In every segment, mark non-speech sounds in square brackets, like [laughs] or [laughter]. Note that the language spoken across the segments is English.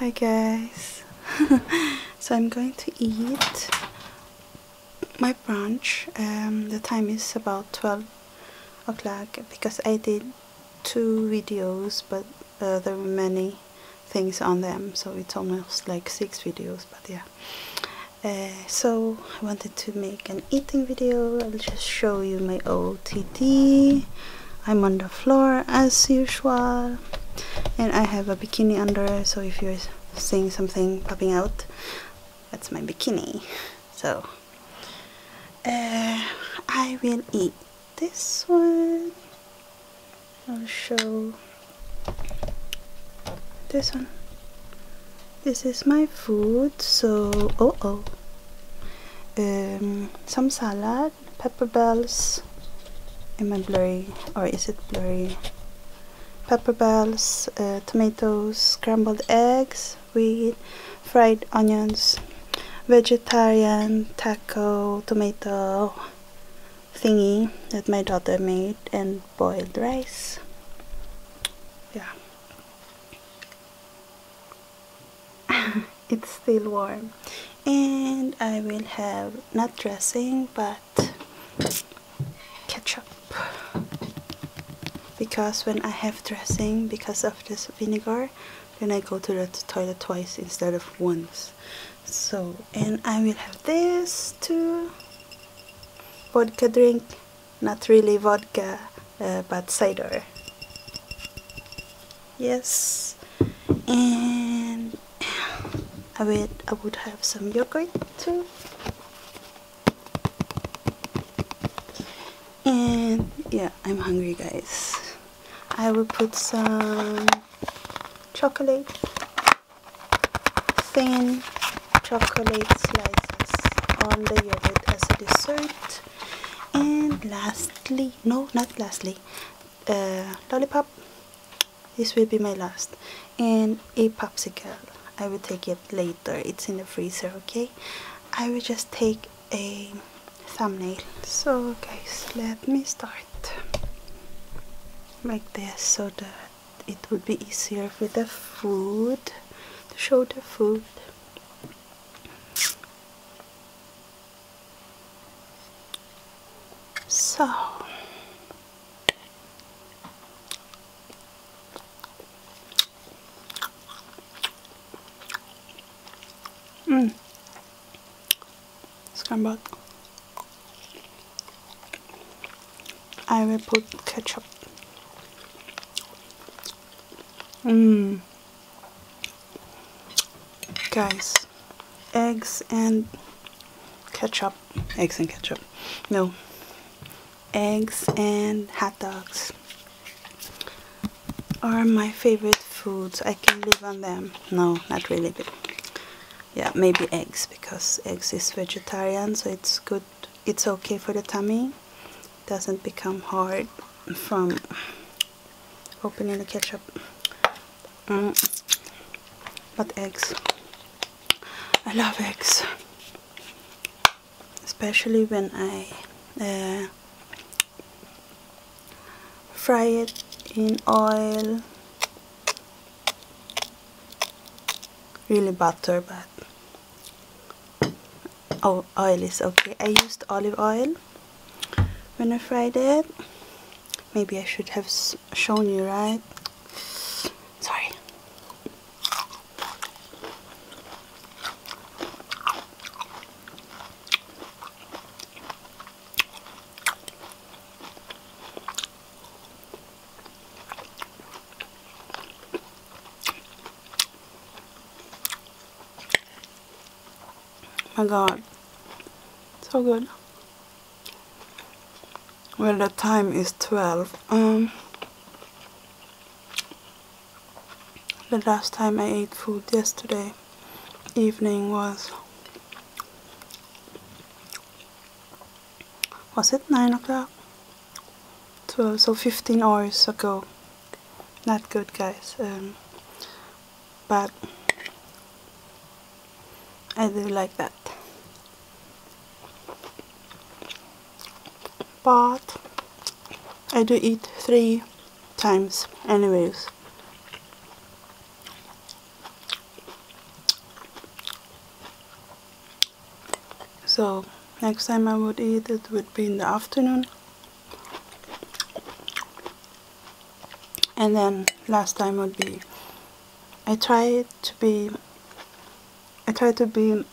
Hi guys. [laughs] so I'm going to eat my brunch. Um, the time is about 12 o'clock because I did two videos but uh, there were many things on them so it's almost like six videos but yeah. Uh, so I wanted to make an eating video. I'll just show you my OTD. I'm on the floor as usual and I have a bikini under so if you're seeing something popping out that's my bikini so uh, I will eat this one I'll show this one this is my food so oh oh some salad Pepper Bells. Am I blurry or is it blurry? Pepper Bells, uh, tomatoes, scrambled eggs, wheat, fried onions, vegetarian taco tomato thingy that my daughter made and boiled rice. Yeah. [laughs] it's still warm and I will have not dressing but ketchup because when I have dressing because of this vinegar then I go to the toilet twice instead of once so and I will have this too vodka drink not really vodka uh, but cider yes and [sighs] I would, I would have some yogurt too and yeah I'm hungry guys I will put some chocolate thin chocolate slices on the yogurt as a dessert and lastly no not lastly uh, lollipop this will be my last and a popsicle I will take it later it's in the freezer okay I will just take a thumbnail so guys let me start like this so that it would be easier with the food to show the food so mm. scrambled. I will put ketchup. Mmm. Guys, eggs and ketchup. Eggs and ketchup. No. Eggs and hot dogs are my favorite foods. I can live on them. No, not really, yeah, maybe eggs because eggs is vegetarian, so it's good. It's okay for the tummy. doesn't become hard from opening the ketchup mm. but eggs I love eggs especially when I uh, fry it in oil really butter but oh oil is okay I used olive oil when I fried it Maybe I should have shown you, right? Sorry my god so good well the time is 12 um the last time I ate food yesterday evening was was it 9 o'clock 12 so 15 hours ago not good guys um, but I do like that but I do eat three times anyways so next time I would eat it would be in the afternoon and then last time would be I try to be I try to be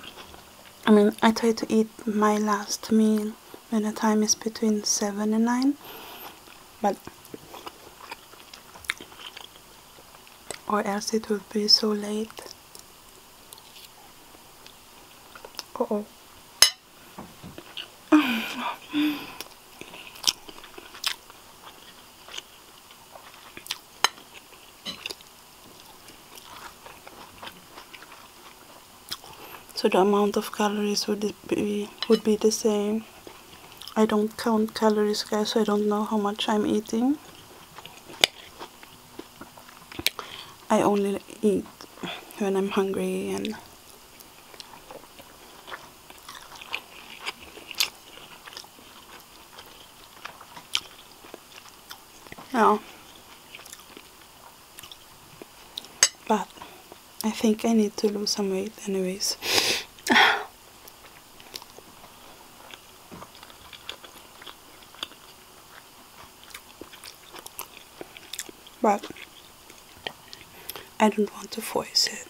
I mean I try to eat my last meal when the time is between 7 and 9 but or else it would be so late oh [laughs] so the amount of calories would be would be the same I don't count calories guys so I don't know how much I'm eating I only eat when I'm hungry and yeah. But I think I need to lose some weight anyways. [sighs] but I don't want to voice it.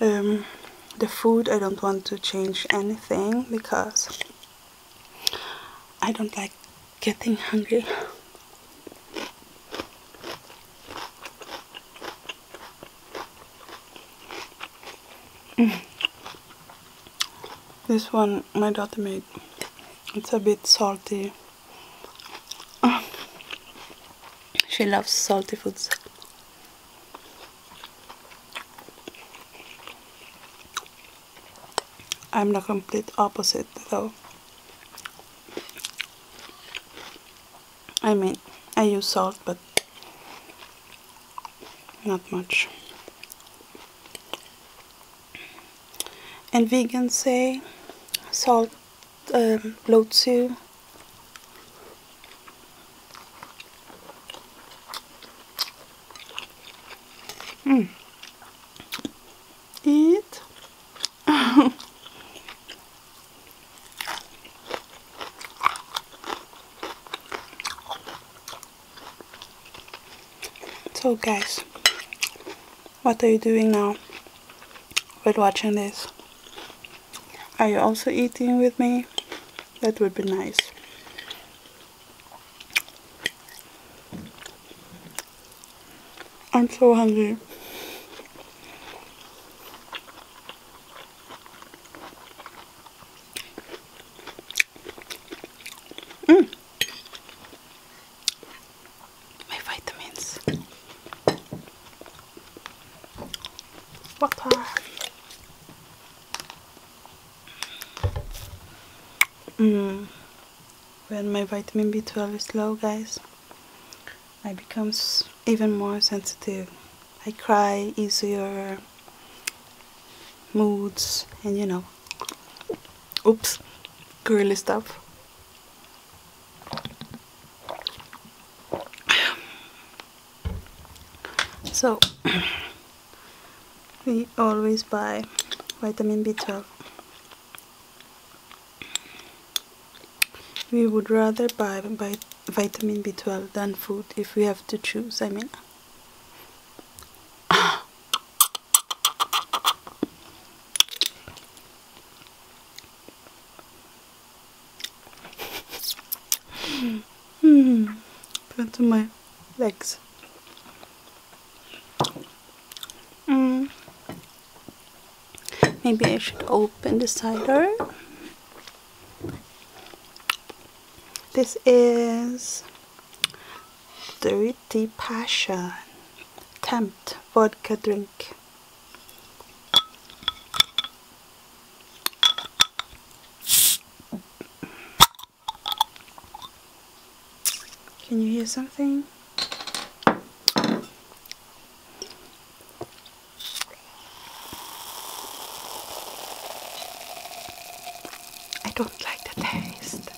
Um, the food, I don't want to change anything because I don't like getting hungry. Mm. This one my daughter made. It's a bit salty. She loves salty foods. I'm the complete opposite though. I mean, I use salt, but not much. And vegans say salt um, Lotsu. Hmm. Eat. [laughs] so guys, what are you doing now with watching this? Are you also eating with me? That would be nice. I'm so hungry. Mm. My vitamins. Water. Mm. When my vitamin B12 is low, guys, I become even more sensitive. I cry easier, moods, and you know, oops, girly stuff so we always buy vitamin B12 we would rather buy, vitamin B12 than food if we have to choose I mean hmm. Put on my legs. Mm. Maybe I should open the cider. This is Dirty Passion Tempt Vodka Drink can you hear something? I don't like the taste.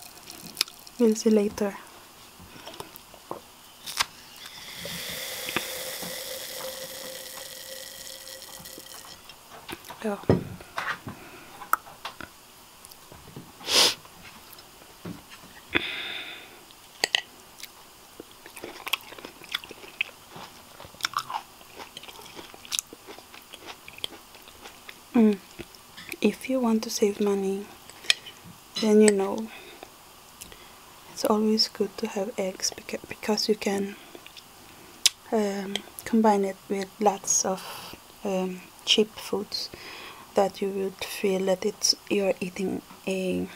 We'll see later. Oh. Mm. If you want to save money, then you know it's always good to have eggs because you can um, combine it with lots of um, cheap foods that you would feel that it's you're eating a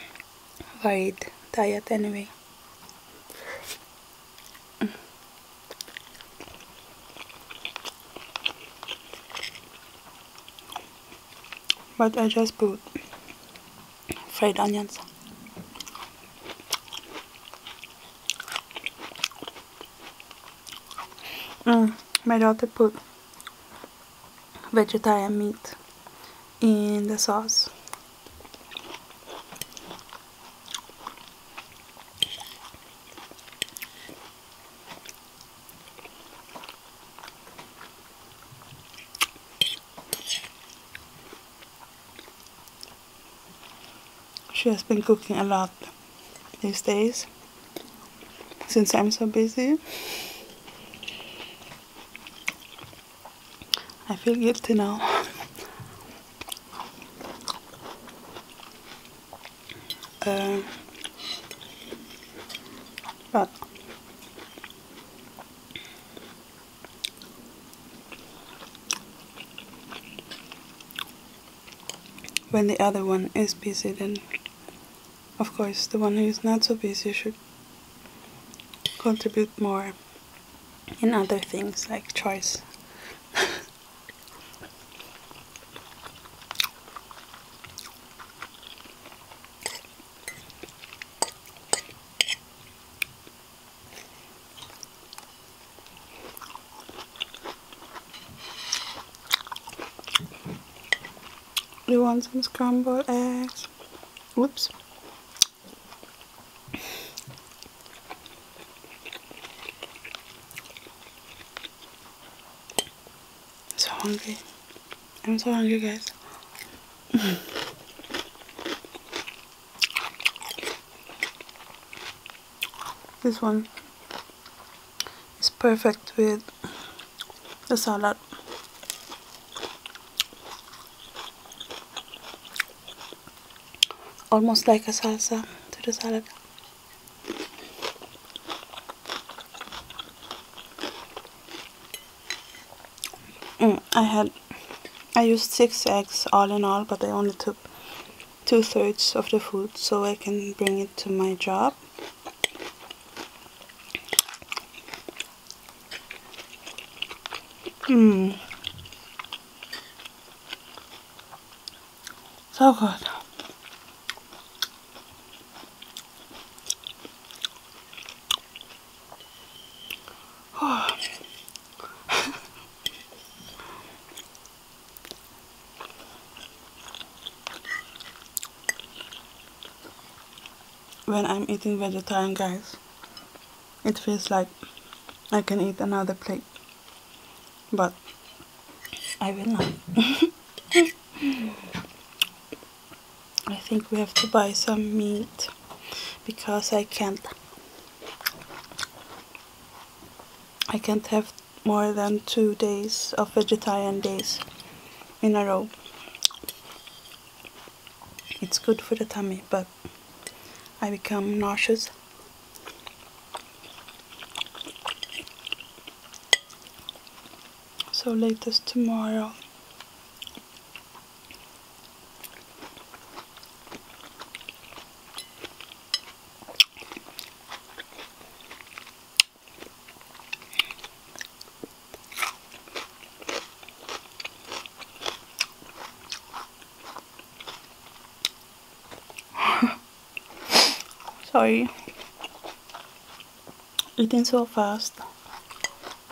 varied diet anyway but I just put fried onions mm, my daughter put vegetarian meat in the sauce she has been cooking a lot these days since I'm so busy. I feel guilty now. Uh, but when the other one is busy then of course the one who is not so busy should contribute more in other things like choice you want some scrambled eggs? Whoops. So hungry. I'm so hungry, guys. This one is perfect with the salad. Almost like a salsa to the salad. Mm, I had I used six eggs all in all, but I only took two thirds of the food so I can bring it to my job. Mmm. So good. [sighs] when I'm eating vegetarian guys it feels like I can eat another plate but I will not [laughs] I think we have to buy some meat because I can't I can't have more than two days of vegetarian days in a row it's good for the tummy but I become nauseous so latest tomorrow Sorry, eating so fast.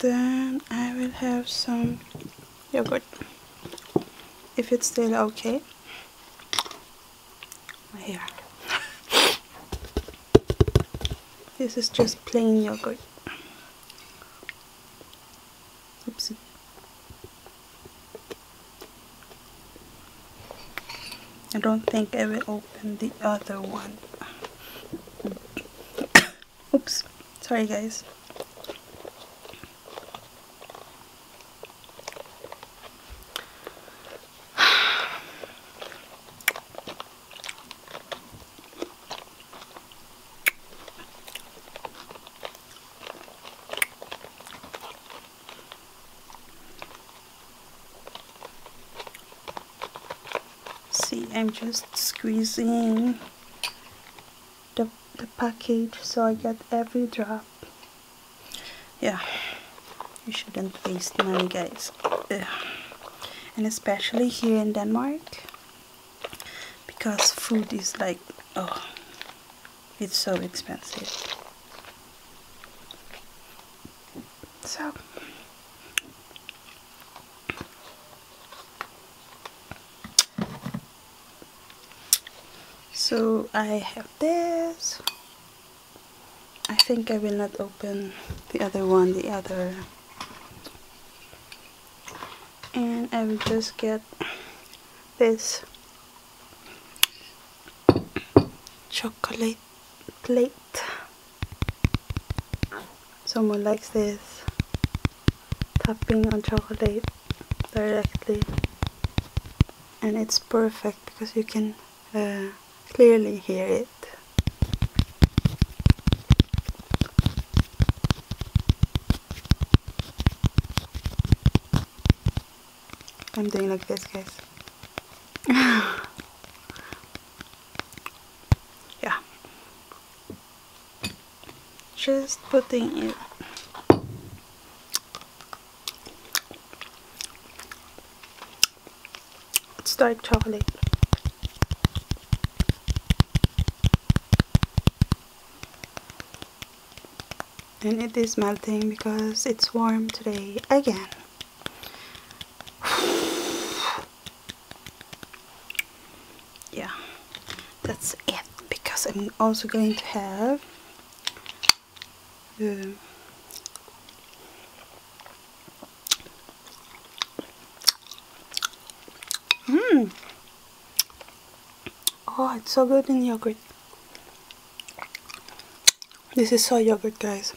then I will have some yogurt if it's still okay here [laughs] this is just plain yogurt oopsie I don't think it will and the other one. Oops, sorry guys see I'm just squeezing the, the package so I get every drop yeah you shouldn't waste money guys and especially here in Denmark because food is like oh it's so expensive so so I have this I think I will not open the other one the other and I will just get this chocolate plate Someone likes this tapping on chocolate directly and it's perfect because you can uh, clearly hear it I'm doing like this guys [laughs] yeah just putting it it's like chocolate and it is melting because it's warm today again [sighs] [sighs] yeah that's it because I'm also going to have mmm oh it's so good in yogurt this is so yogurt guys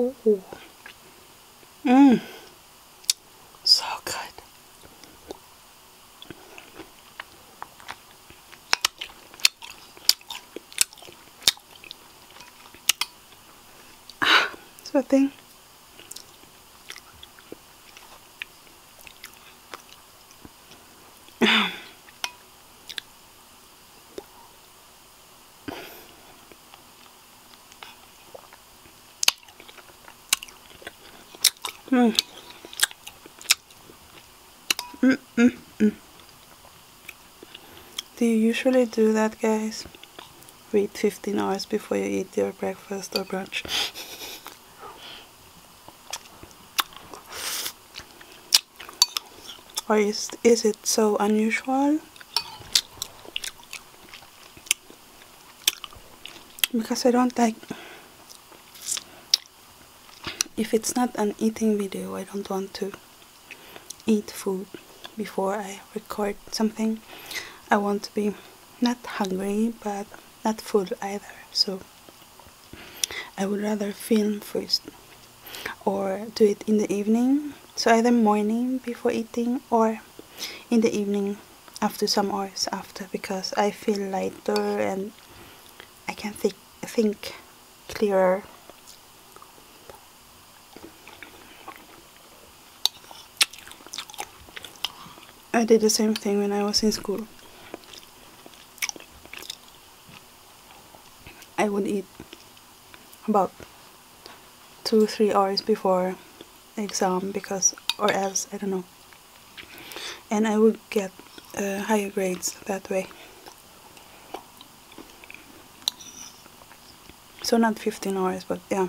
Oh. Mmm. So good. Ah, so thing. Mm. Mm, mm, Do you usually do that, guys? Wait 15 hours before you eat your breakfast or brunch or is, is it so unusual because I don't like if it's not an eating video I don't want to eat food before I record something I want to be not hungry but not full either so I would rather film first or do it in the evening so either morning before eating or in the evening after some hours after because I feel lighter and I can think think clearer I did the same thing when I was in school I would eat about two three hours before exam because or else I don't know and I would get uh, higher grades that way so not 15 hours but yeah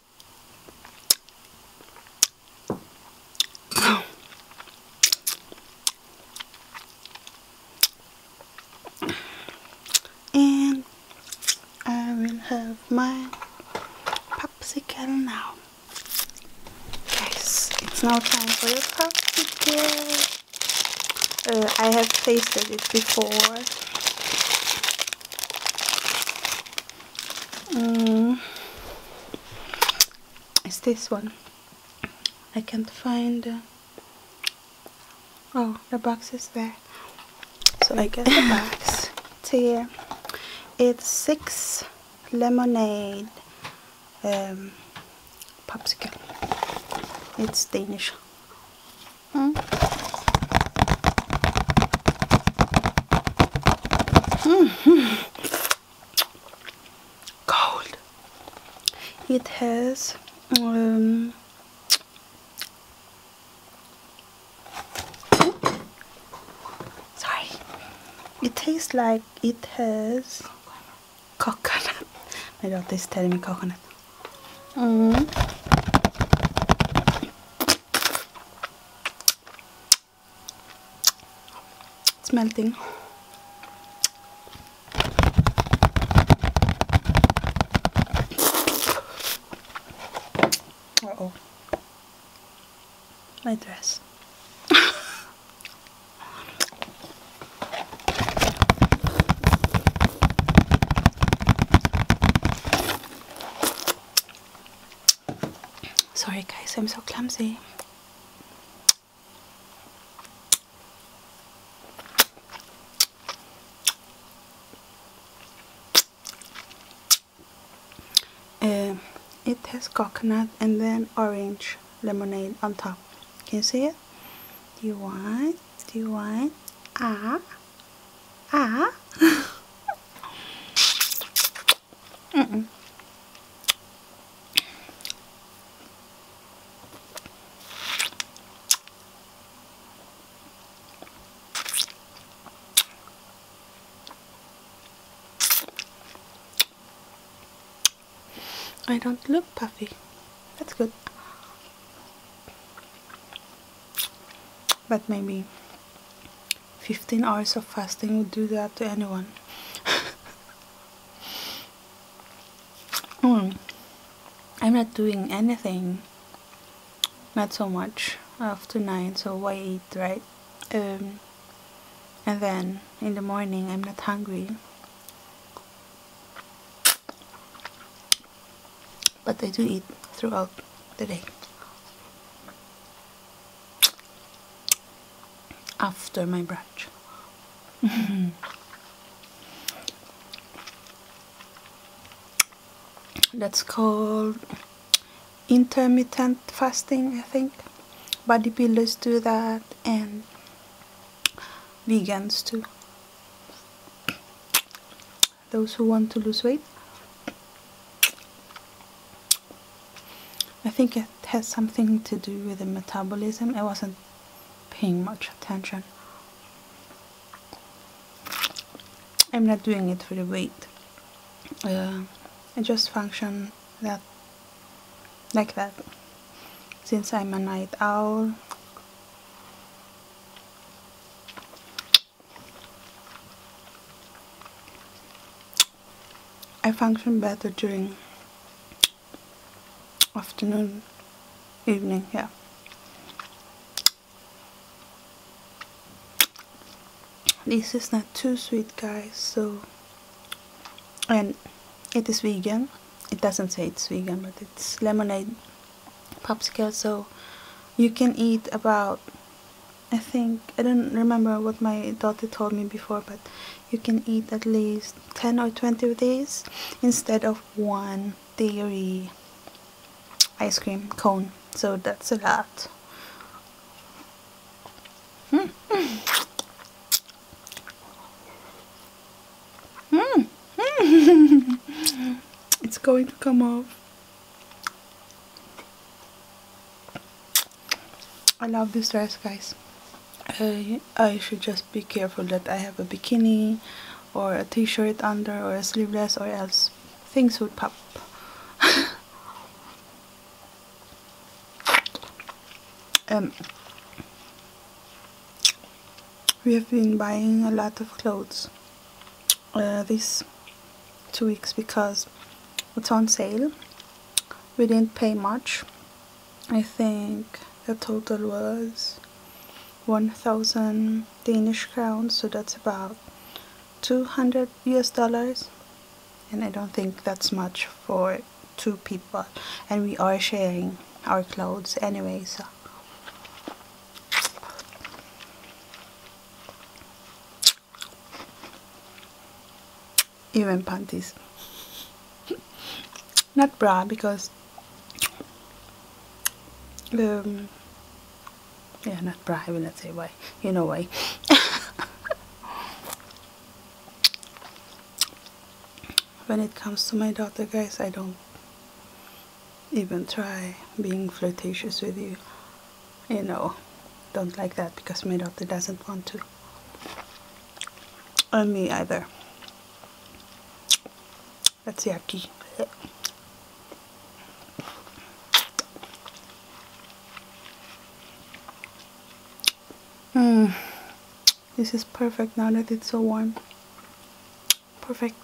and I will have my popsicle now guys it's now time for your popsicle uh, I have tasted it before um, mm. it's this one I can't find uh, oh the box is there so I guess the [coughs] box it's here it's six lemonade um, popsicle it's Danish hmm? -hmm. Cold. It has um, sorry. It tastes like it has coconut. [laughs] My daughter is telling me coconut. Mm. It's melting. oh. My dress. Sorry guys, I'm so clumsy. Uh, it has coconut and then orange lemonade on top. Can you see it? Do you want? Do you want? Ah. Ah. mm I don't look puffy. That's good. But maybe 15 hours of fasting would do that to anyone hmm. I'm not doing anything not so much after 9 so why eat right um, and then in the morning I'm not hungry but I do eat throughout the day after my brunch. [laughs] That's called intermittent fasting, I think. Bodybuilders do that and vegans too those who want to lose weight. I think it has something to do with the metabolism. I wasn't paying much attention. I'm not doing it for the weight. Uh, I just function that like that. Since I'm a night owl, I function better during afternoon, evening, yeah. This is not too sweet guys, so and it is vegan. It doesn't say it's vegan, but it's lemonade popsicle, so you can eat about I think, I don't remember what my daughter told me before, but you can eat at least 10 or 20 of these instead of one dairy ice cream cone. So that's a lot. Hmm. Hmm. Hmm. [laughs] it's going to come off. I love this dress guys uh, I, should just be careful that I have a bikini or a t-shirt under or a sleeveless or else things would pop [laughs] um, we have been buying a lot of clothes uh, these two weeks because it's on sale we didn't pay much I think the total was 1000 Danish crowns so that's about 200 US dollars and I don't think that's much for two people and we are sharing our clothes anyway even panties not bra because um, yeah not bra I will not say why you know why [laughs] when it comes to my daughter guys I don't even try being flirtatious with you you know don't like that because my daughter doesn't want to or me either that's yucky Hmm. This is perfect now that it's so warm. Perfect.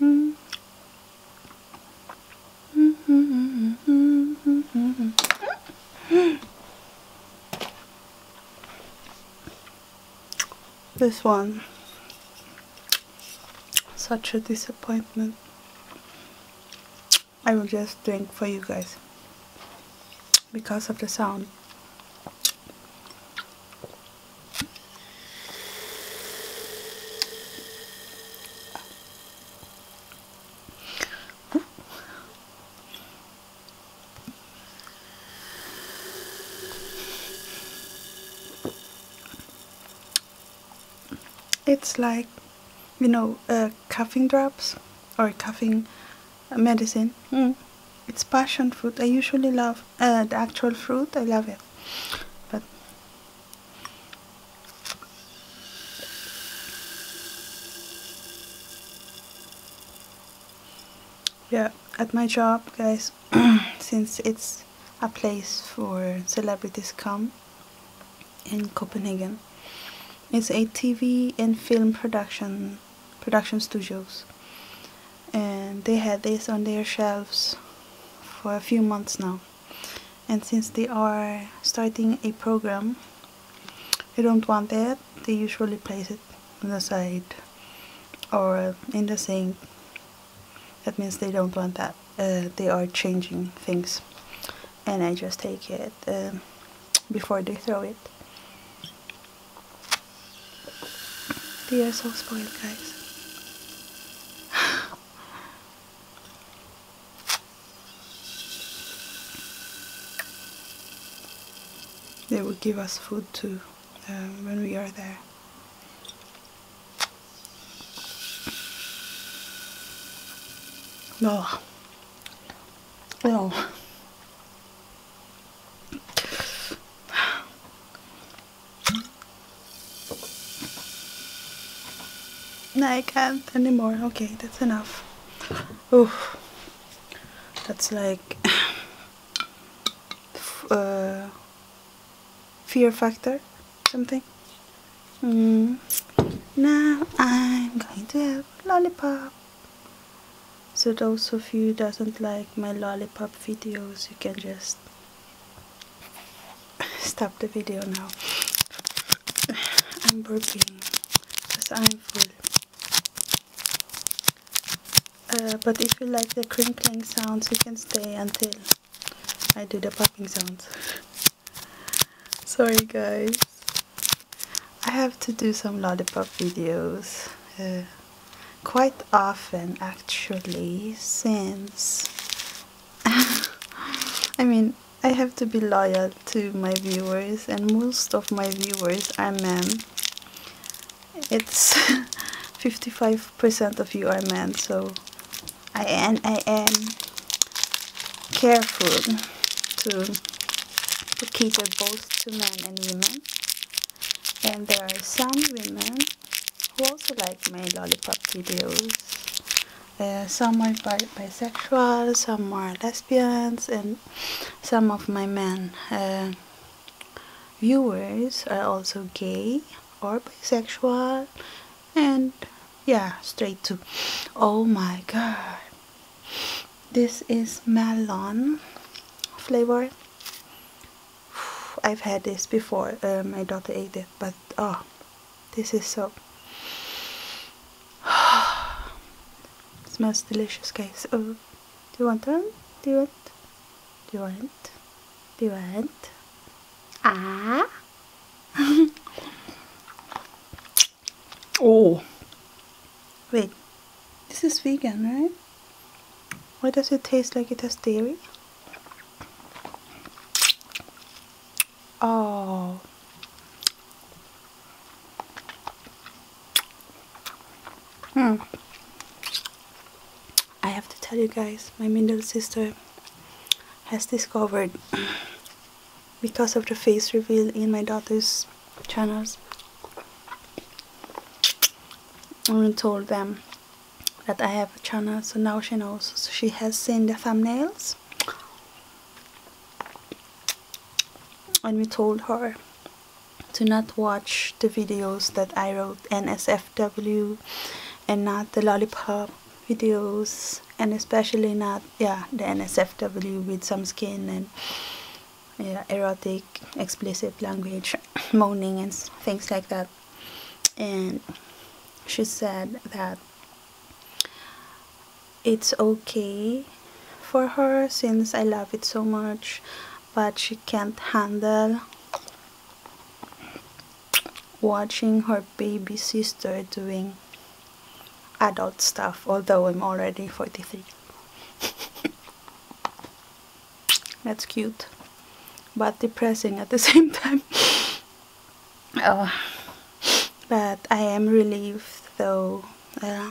Mm this one such a disappointment I will just drink for you guys because of the sound it's like, you know, uh, coughing drops or coughing medicine. Mm. It's passion fruit. I usually love uh, the actual fruit. I love it. But yeah at my job guys [clears throat] since it's a place for celebrities come in Copenhagen it's a TV and film production production studios and they had this on their shelves for a few months now and since they are starting a program they don't want that. they usually place it on the side or in the sink that means they don't want that uh, they are changing things and I just take it um, before they throw it they are so spoiled guys [sighs] [laughs] They will give us food too um, when we are there. No. No. No, I can't anymore. Okay, that's enough. Oof. That's like [sighs] uh, fear factor, something. Mm. Now I'm going to have lollipop. So those of you doesn't like my lollipop videos, you can just stop the video now I'm burping because I'm full uh, but if you like the crinkling sounds you can stay until I do the popping sounds [laughs] sorry guys I have to do some lollipop videos uh, quite often actually since I mean, I have to be loyal to my viewers, and most of my viewers are men. It's 55% [laughs] of you are men, so I am, I am careful to, to cater both to men and women. And there are some women who also like my lollipop videos. Uh, some are bisexual, some are lesbians, and some of my men uh, viewers are also gay or bisexual, and yeah, straight too. Oh my god, this is melon flavor. [sighs] I've had this before. Uh, my daughter ate it, but oh, this is so. [sighs] smells delicious, guys. Oh, do you want one? Do you want? Do you want? Do you want? Ah. oh. Wait. This is vegan, right? Why does it taste like it has dairy? Oh. Hmm. I have to tell you guys, my middle sister has discovered because of the face reveal in my daughter's channels and told them that I have a channel so now she knows she has seen the thumbnails and we told her to not watch the videos that I wrote NSFW and not the lollipop videos and especially not yeah the NSFW with some skin and yeah, erotic explicit language moaning and things like that and she said that it's okay for her since I love it so much but she can't handle watching her baby sister doing adult stuff although I'm already 43 [laughs] that's cute but depressing at the [laughs] same time oh, [sighs] but I am relieved though uh,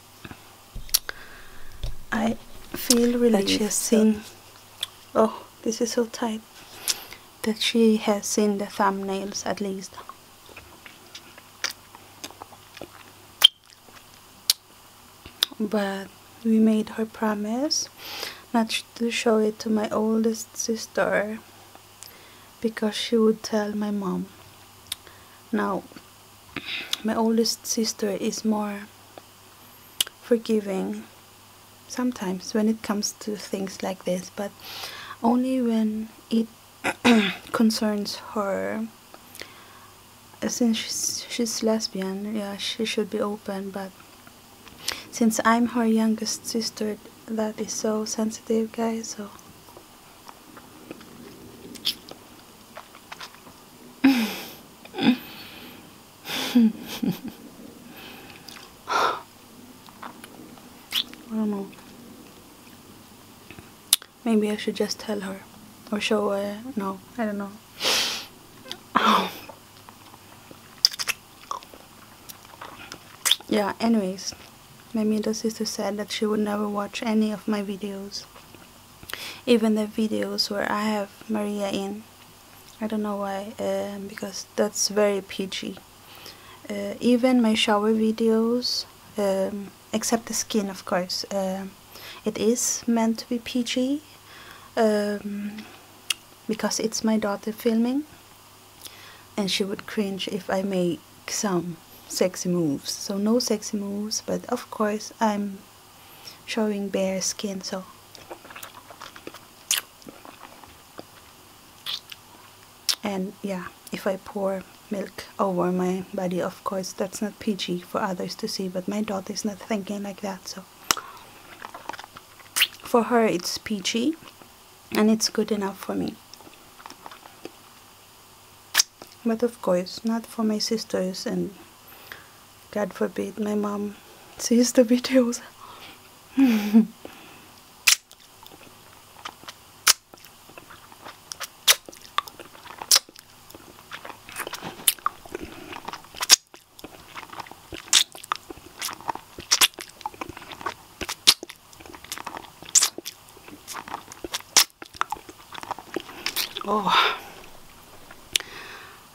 I feel really that she has seen. Oh, this is so tight. That she has seen the thumbnails at least. But we made her promise not to show it to my oldest sister because she would tell my mom. Now, my oldest sister is more forgiving sometimes when it comes to things like this but only when it [coughs] concerns her uh, since she's, she's lesbian yeah she should be open but since I'm her youngest sister that is so sensitive guys so I don't know. Maybe I should just tell her or show her. No, I don't know. yeah, anyways, my middle sister said that she would never watch any of my videos even the videos where I have Maria in I don't know why um, because that's very PG uh, even my shower videos um, except the skin of course um, it is meant to be PG because it's my daughter filming and she would cringe if I make some sexy moves so no sexy moves but of course I'm showing bare skin so and yeah if I pour milk over my body of course that's not PG for others to see but my daughter is not thinking like that so for her it's PG and it's good enough for me but of course not for my sisters and god forbid my mom sees the [laughs] videos Oh,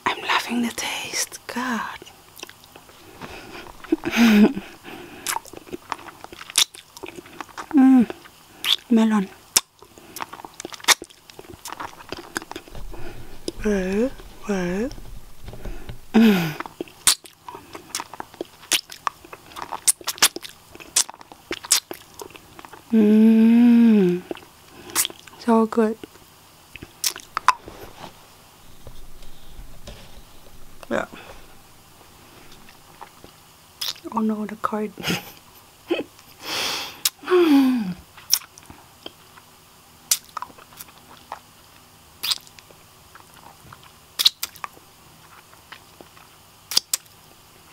I'm loving the taste. God. mm, melon. Well, well. Mm. Mmm, so good. Yeah. Oh no, the card. [laughs] [laughs]